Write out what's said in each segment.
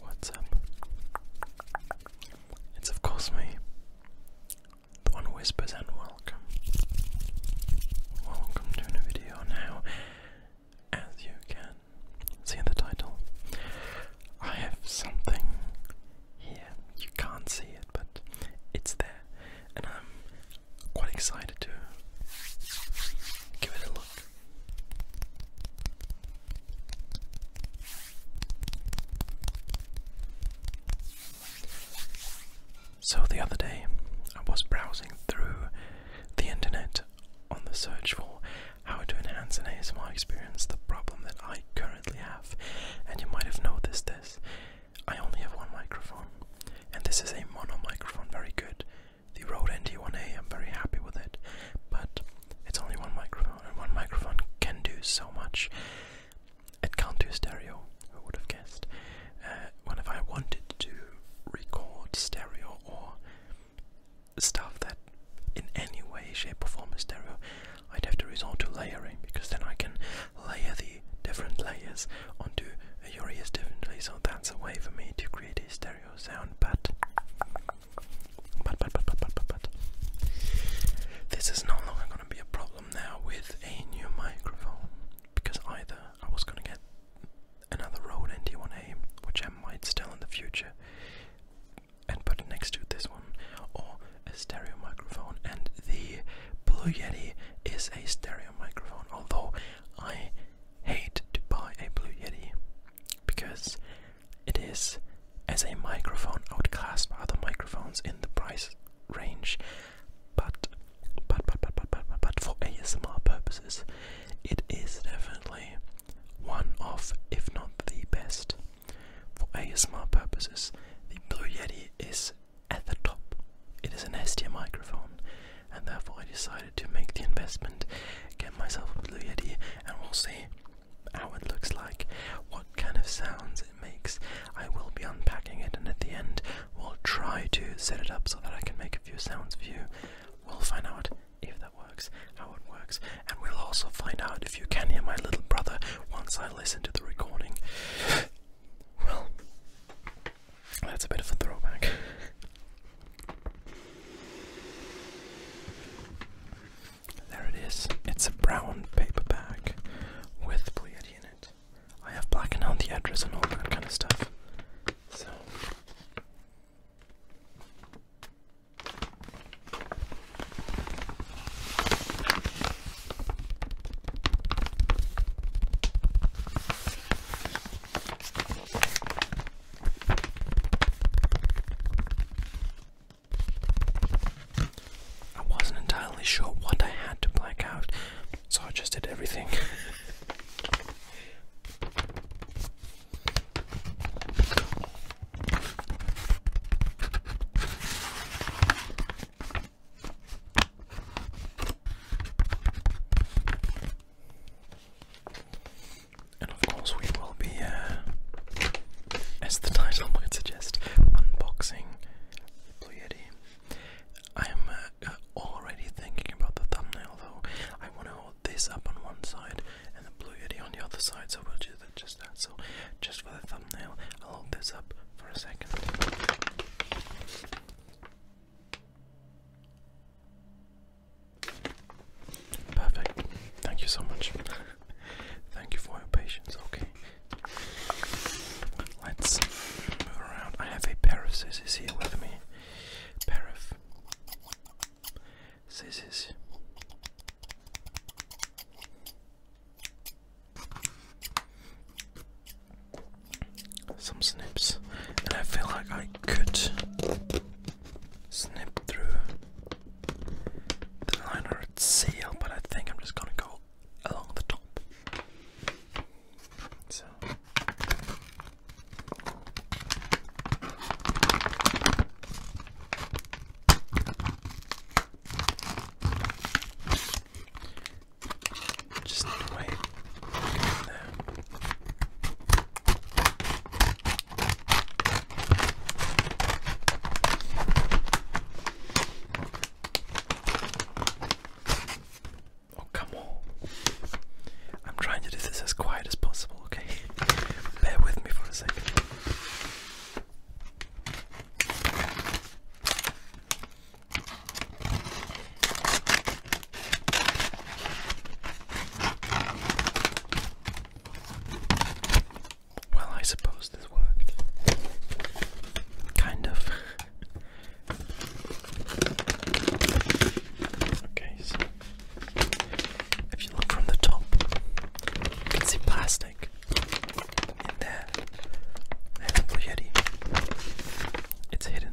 What's up? It's of course me, the one who whispers, and welcome. Welcome to a new video. Now, as you can see in the title, I have something here. You can't see it, but it's there, and I'm quite excited to give it a look. So, the other day, I was browsing through the internet on the search for how to enhance an ASMR experience, the problem that I currently have, and you might have noticed this I only have one microphone, and this is a mono microphone, very good. The Rode NT1A, I'm very happy with it, but it's only one microphone, and one microphone can do so much. It can't do stereo, who would have guessed. Uh, when if I wanted to record stereo or stuff that in any way, shape, or form is stereo, I'd have to resort to layering because then I can layer the different layers onto your ears differently. So that's a way for me to create a stereo sound. But, but, but, but, but, but, but, this is no longer going to be a problem now with a new microphone because either I was going to get another Rode NT1A, which I might still in the future, and put next to this one, or a stereo microphone and the Blue Yeti is a stereo microphone, although I hate to buy a Blue Yeti because it is, as a microphone, outclassed by other microphones in the price range. But, but, but, but, but, but, but, for ASMR purposes, it is definitely one of, if not the best. For ASMR purposes, the Blue Yeti is at the top. It is an ST microphone, and therefore I decided to make the investment, get myself a Blue Yeti, and we'll see how it looks like, what kind of sounds it makes. I will be unpacking it, and at the end, we'll try to set it up so that I can make a few sounds for you. We'll find out if that works, how it works, and we'll also find out if you can hear my little brother once I listen to the recording. well, that's a bit of a throwback. there it is. It's a brown paperback with Pleiadi in it. I have blackened out the address and all that kind of stuff. So. I wasn't entirely sure what I had to black out, so I just did everything. And of course, we will be, uh, as the title might suggest, unboxing Blue Yeti. I am uh, already thinking about the thumbnail though. I want to hold this up on one side and the Blue Yeti on the other side, so we'll do that just that. So, just for the thumbnail, I'll hold this up for a second. Perfect. Thank you so much. Thank you for your patience. Okay. Let's move around. I have a pair here with me. Pair of some snips, and I feel like I could snip through the liner at seal, but I think I'm just gonna go along the top. Just wait. there. Oh, come on. I'm trying to do this as quiet as possible, okay? Bear with me for a second. Well, I suppose this worked. Kind of. okay, so if you look from the top, you can see plastic in there. And It's hidden.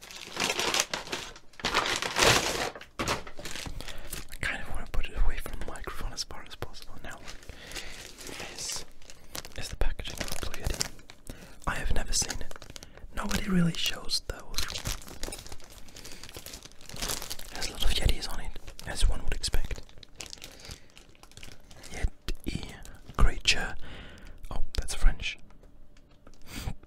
I kind of want to put it away from the microphone as far as possible now. This is the packaging of Blue Yeti. I have never seen it. Nobody really shows those. There's a lot of Yetis on it, as one would expect. Yeti creature. Oh, that's French.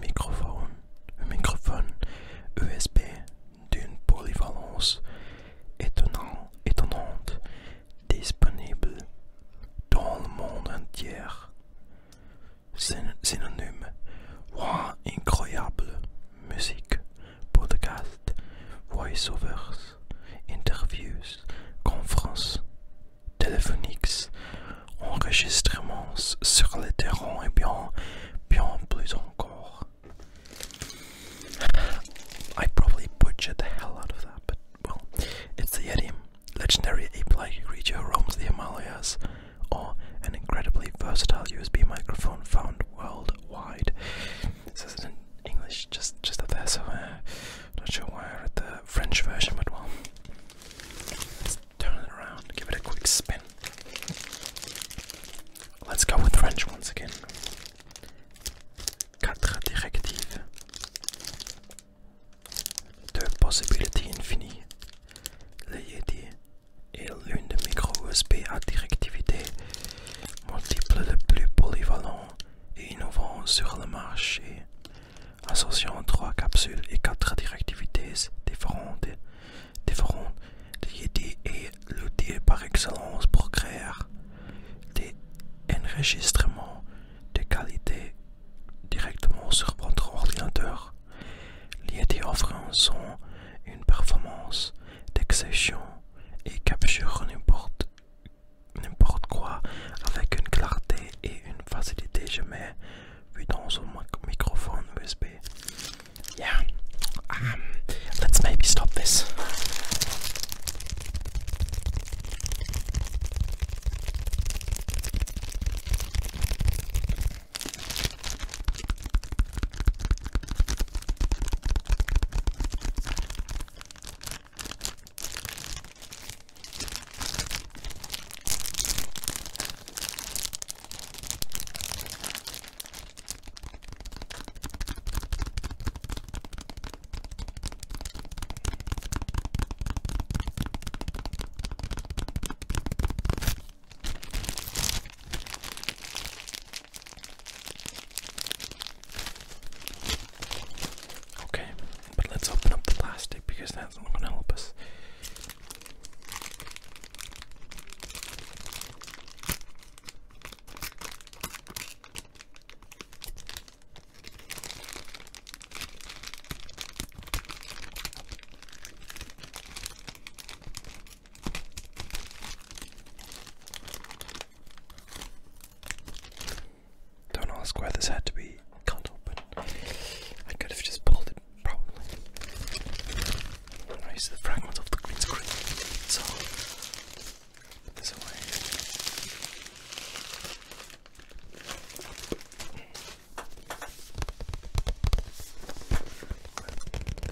microphone, un microphone USB d'une polyvalence étonnante disponible dans le monde entier. synonyme voix incroyable, musique, podcast, voiceovers, interviews, conférences, téléphoniques, enregistrements sur le terrain et bien bien plus encore. I probably butchered the hell out of that, but well, it's the Yeti, legendary ape-like creature who roams the Himalayas, or oh, an incredibly versatile USB microphone found worldwide. This isn't in English, just just up there, so uh, not sure why I read the French version, but well, turn it around, give it a quick spin. Let's go with French once again. Quatre directives. Deux possibilités infinies. Le Yeti est l'une de micro USB à directivité multiple le plus polyvalent et innovant sur le marché, associant trois capsules et quatre directivités différentes Différents, Le est l'outil par excellence pour créer des enregistrements de qualité directement sur votre ordinateur. l'ID offre un son, une performance d'exception et capture n'importe n'importe quoi avec une clarté et une facilité jamais vue dans un microphone USB. yeah, um, let's maybe stop this. Okay, but let's open up the plastic because that's not going to help us. Don't ask why this had to be cut open. I could have just pulled it probably. I use the fragment of the green screen, so there's hmm.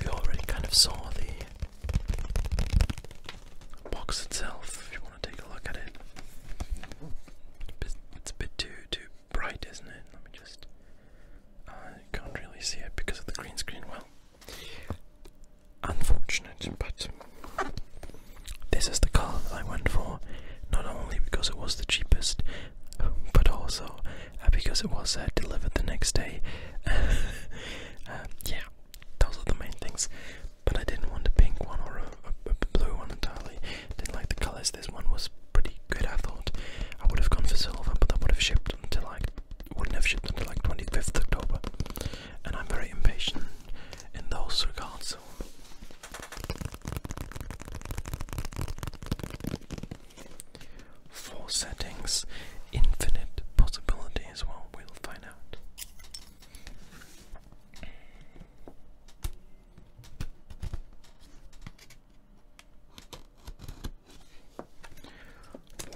already kind of saw the box itself. If you want to take a look at it, it's a bit too too bright, isn't it? Let me just. I can't really see it because of the green screen. Well, unfortunate, but this is the car that I went for. Not only because it was the cheapest, but also uh, because it was uh, delivered the next day. Uh, yeah, those are the main things. But I didn't want a pink one or a, a blue one entirely. Didn't like the colours. This one was pretty good, I thought. I would have gone for silver, but that would have shipped until like wouldn't have shipped until like 25th October, and I'm very impatient in those regards. Four settings, infinite possibilities. Well, we'll find out.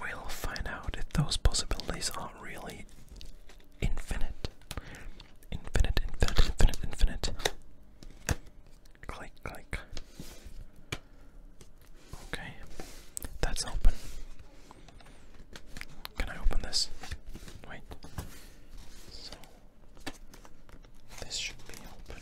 We'll find out if those possibilities are really infinite. Infinite, infinite, infinite, infinite. Click, click. Okay, that's open. Can I open this? Wait. So, this should be open.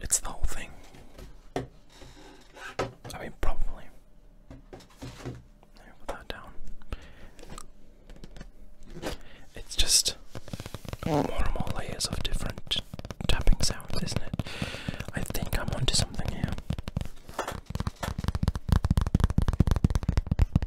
It's the whole thing. I mean, probably. put that down. It's just more and more layers of different tapping sounds, isn't it? I think I'm onto something here.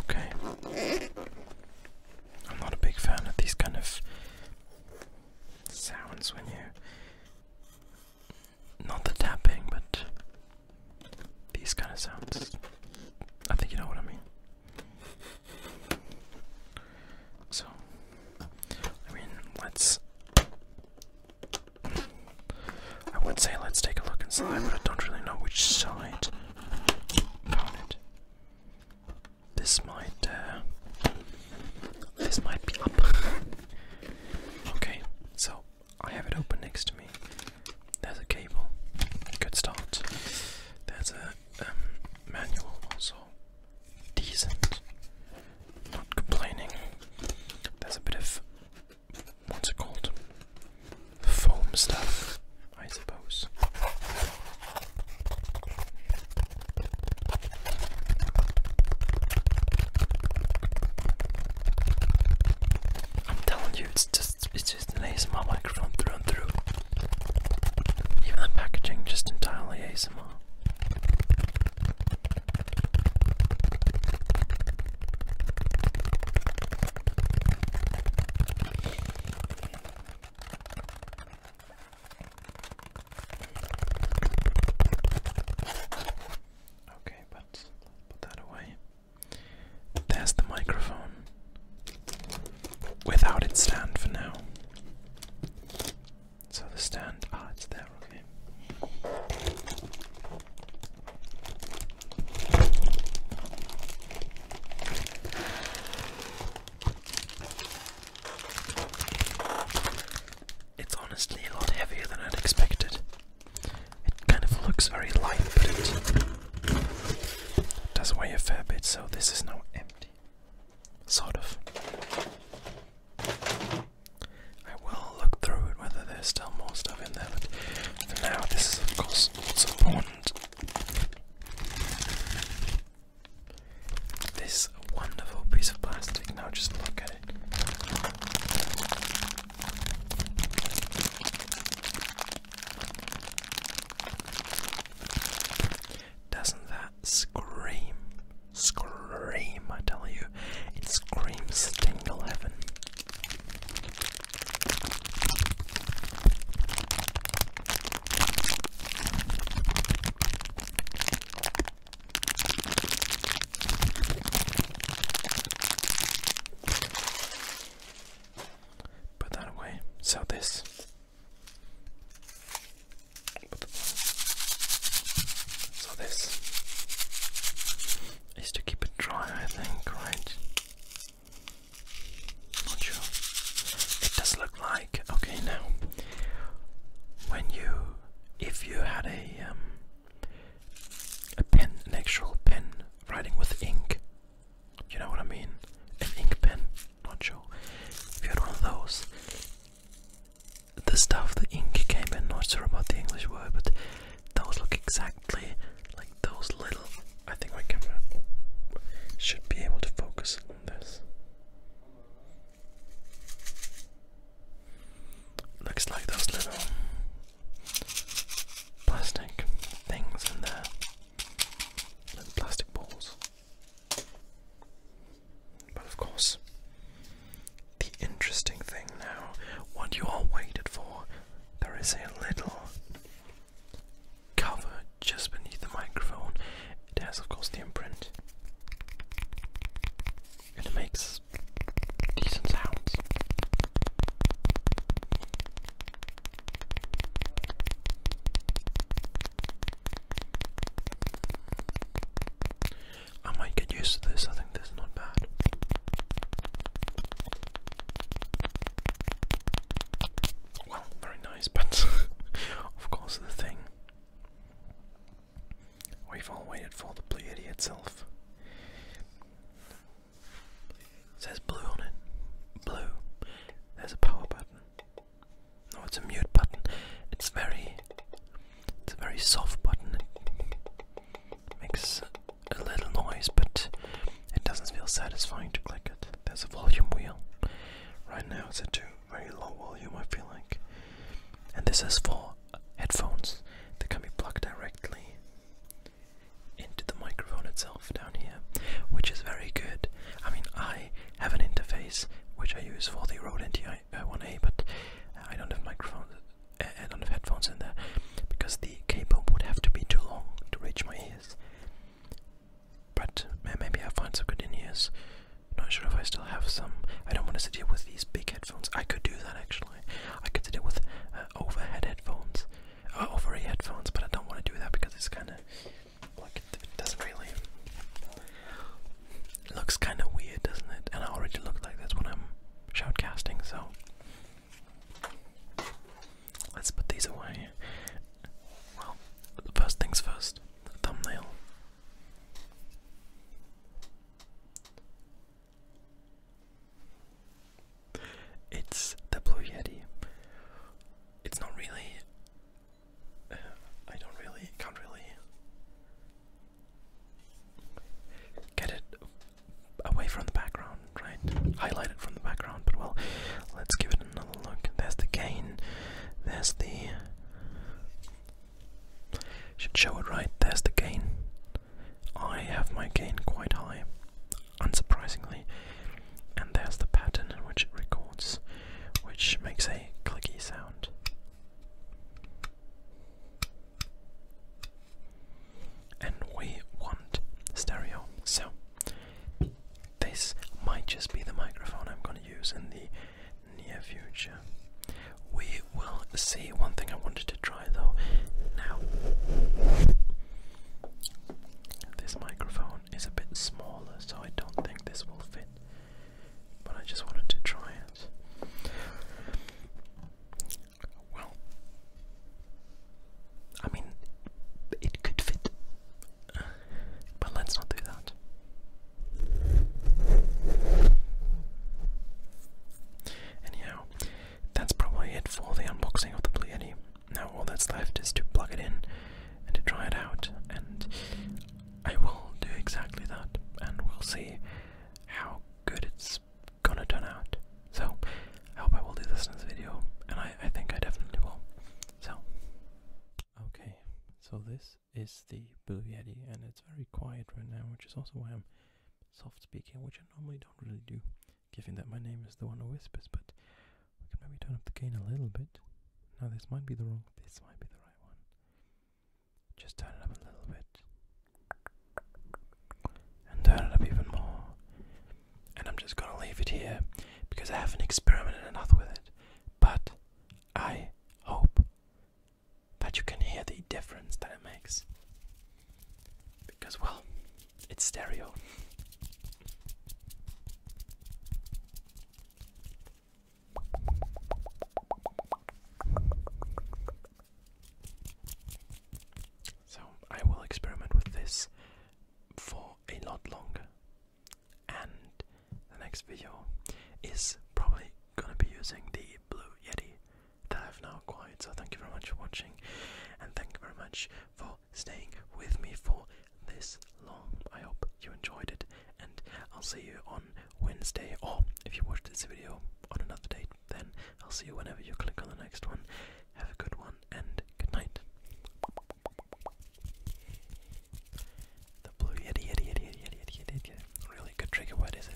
Okay. I'm not a big fan of these kind of sounds when you. Not the tapping, but these kind of sounds. I think you know what I mean. So, I mean, let's I would say let's take a look inside, but I don't really know which side. This might, uh, this might be up. okay, so I have it open next to me. There's a cable. Good start. There's a um, manual also. Decent. Not complaining. There's a bit of what's it called? Foam stuff, I suppose. I'm telling you, it's just it's just an ASMR microphone through and through. Even the packaging, just entirely ASMR. Okay, but put that away. There's the microphone without its stand for now. So the stand ah, it's there. Okay. It's honestly a lot heavier than I'd expected. It kind of looks very light, but it does weigh a fair bit, so this is now empty. Sort of. I will look through it whether there's still more stuff in there, but for now, this is of course what's important. This wonderful piece of plastic, now just look at it. Doesn't that scream? Scream. I tell you. It screams tingle heaven. Put that away. So this. So this is to keep it dry, I think, right? Not sure. It does look like okay now. When you, if you had a um, a pen, an actual pen, writing with ink, you know what I mean? An ink pen. Not sure. If you had one of those, the stuff the ink came in. Not sure about the English word, but those look exactly like those little. I think my camera should be able to focus on this. Looks like those little plastic things in there. plastic balls. But of course, the interesting thing now, what you all waited for, there is a little cover just beneath the microphone. It has, of course, the imprint, and it makes decent sounds. I might get used to this, I think this is not bad. Well, very nice, but of course the thing. We've all waited for the blue Yeti itself. It says blue on it. Blue. There's a power button. No, it's a mute button. It's very, it's a very soft button. Makes a little noise, but it doesn't feel satisfying to click it. There's a volume wheel. Right now it's at very low volume, I feel like. And this is for headphones that can be plugged directly into the microphone itself down here, which is very good. I mean, I have an interface which I use for the Rode NT1A, but I don't have microphones a lot of headphones in there because the cable would have to be too long to reach my ears. But maybe I'll find some good in ears. Not sure if I still have some. I don't want to sit here with these big headphones. I could do that actually. I could sit here with uh, overhead headphones, uh, headphones, but I don't want to do that because it's kind of like it doesn't really. looks kind of weird, doesn't it? And I already look like this when I'm shoutcasting, so Let's put these away. Well, first things first, thumbnail. It's the Blue Yeti. It's not really. Uh, I don't really. Can't really get it away from the background, right? Highlight it from the background, but well, let's give it another look. There's the gain, there's the. Should show it right, there's the gain. I have my gain quite high, unsurprisingly. And there's the pattern in which it records, which makes a clicky sound and we want stereo. So this might just be the microphone I'm going to use in the near future. We will see. One thing I wanted to try though now. This microphone is a bit smaller, so I don't think this will fit, but I just wanted to try it. Well, I mean, it could fit, but let's not do that. Anyhow, that's probably it for the unboxing of the Blue Now all that's left is to plug it in and to try it out, and I will do exactly that, and we'll see how good it's gonna turn out. So, I hope I will do this in this video, and I, I think I definitely will. So, okay, so this is the Blue Yeti, and it's very quiet right now, which is also why I'm soft speaking, which I normally don't really do, given that my name is the one who whispers, but we can maybe turn up the gain a little bit. Now, this might be the wrong, this might be the right one. Just turn it up a little bit and turn it up even more. And I'm just gonna leave it here because I haven't experimented enough with it. But I hope that you can hear the difference that it makes. Because, well, it's stereo. So I will experiment with this for a lot longer, and the next video is probably gonna be using the Blue Yeti that I've now acquired. So thank you very much for watching, and thank you very much for staying with me for this long. I hope you enjoyed it, and I'll see you on Wednesday, or if you watched this video on another date then I'll see you whenever you click on the next one. Have a good one and good night. The blue yeti yeti yeti yeti yeti yeti yeti. Really good trigger word, it?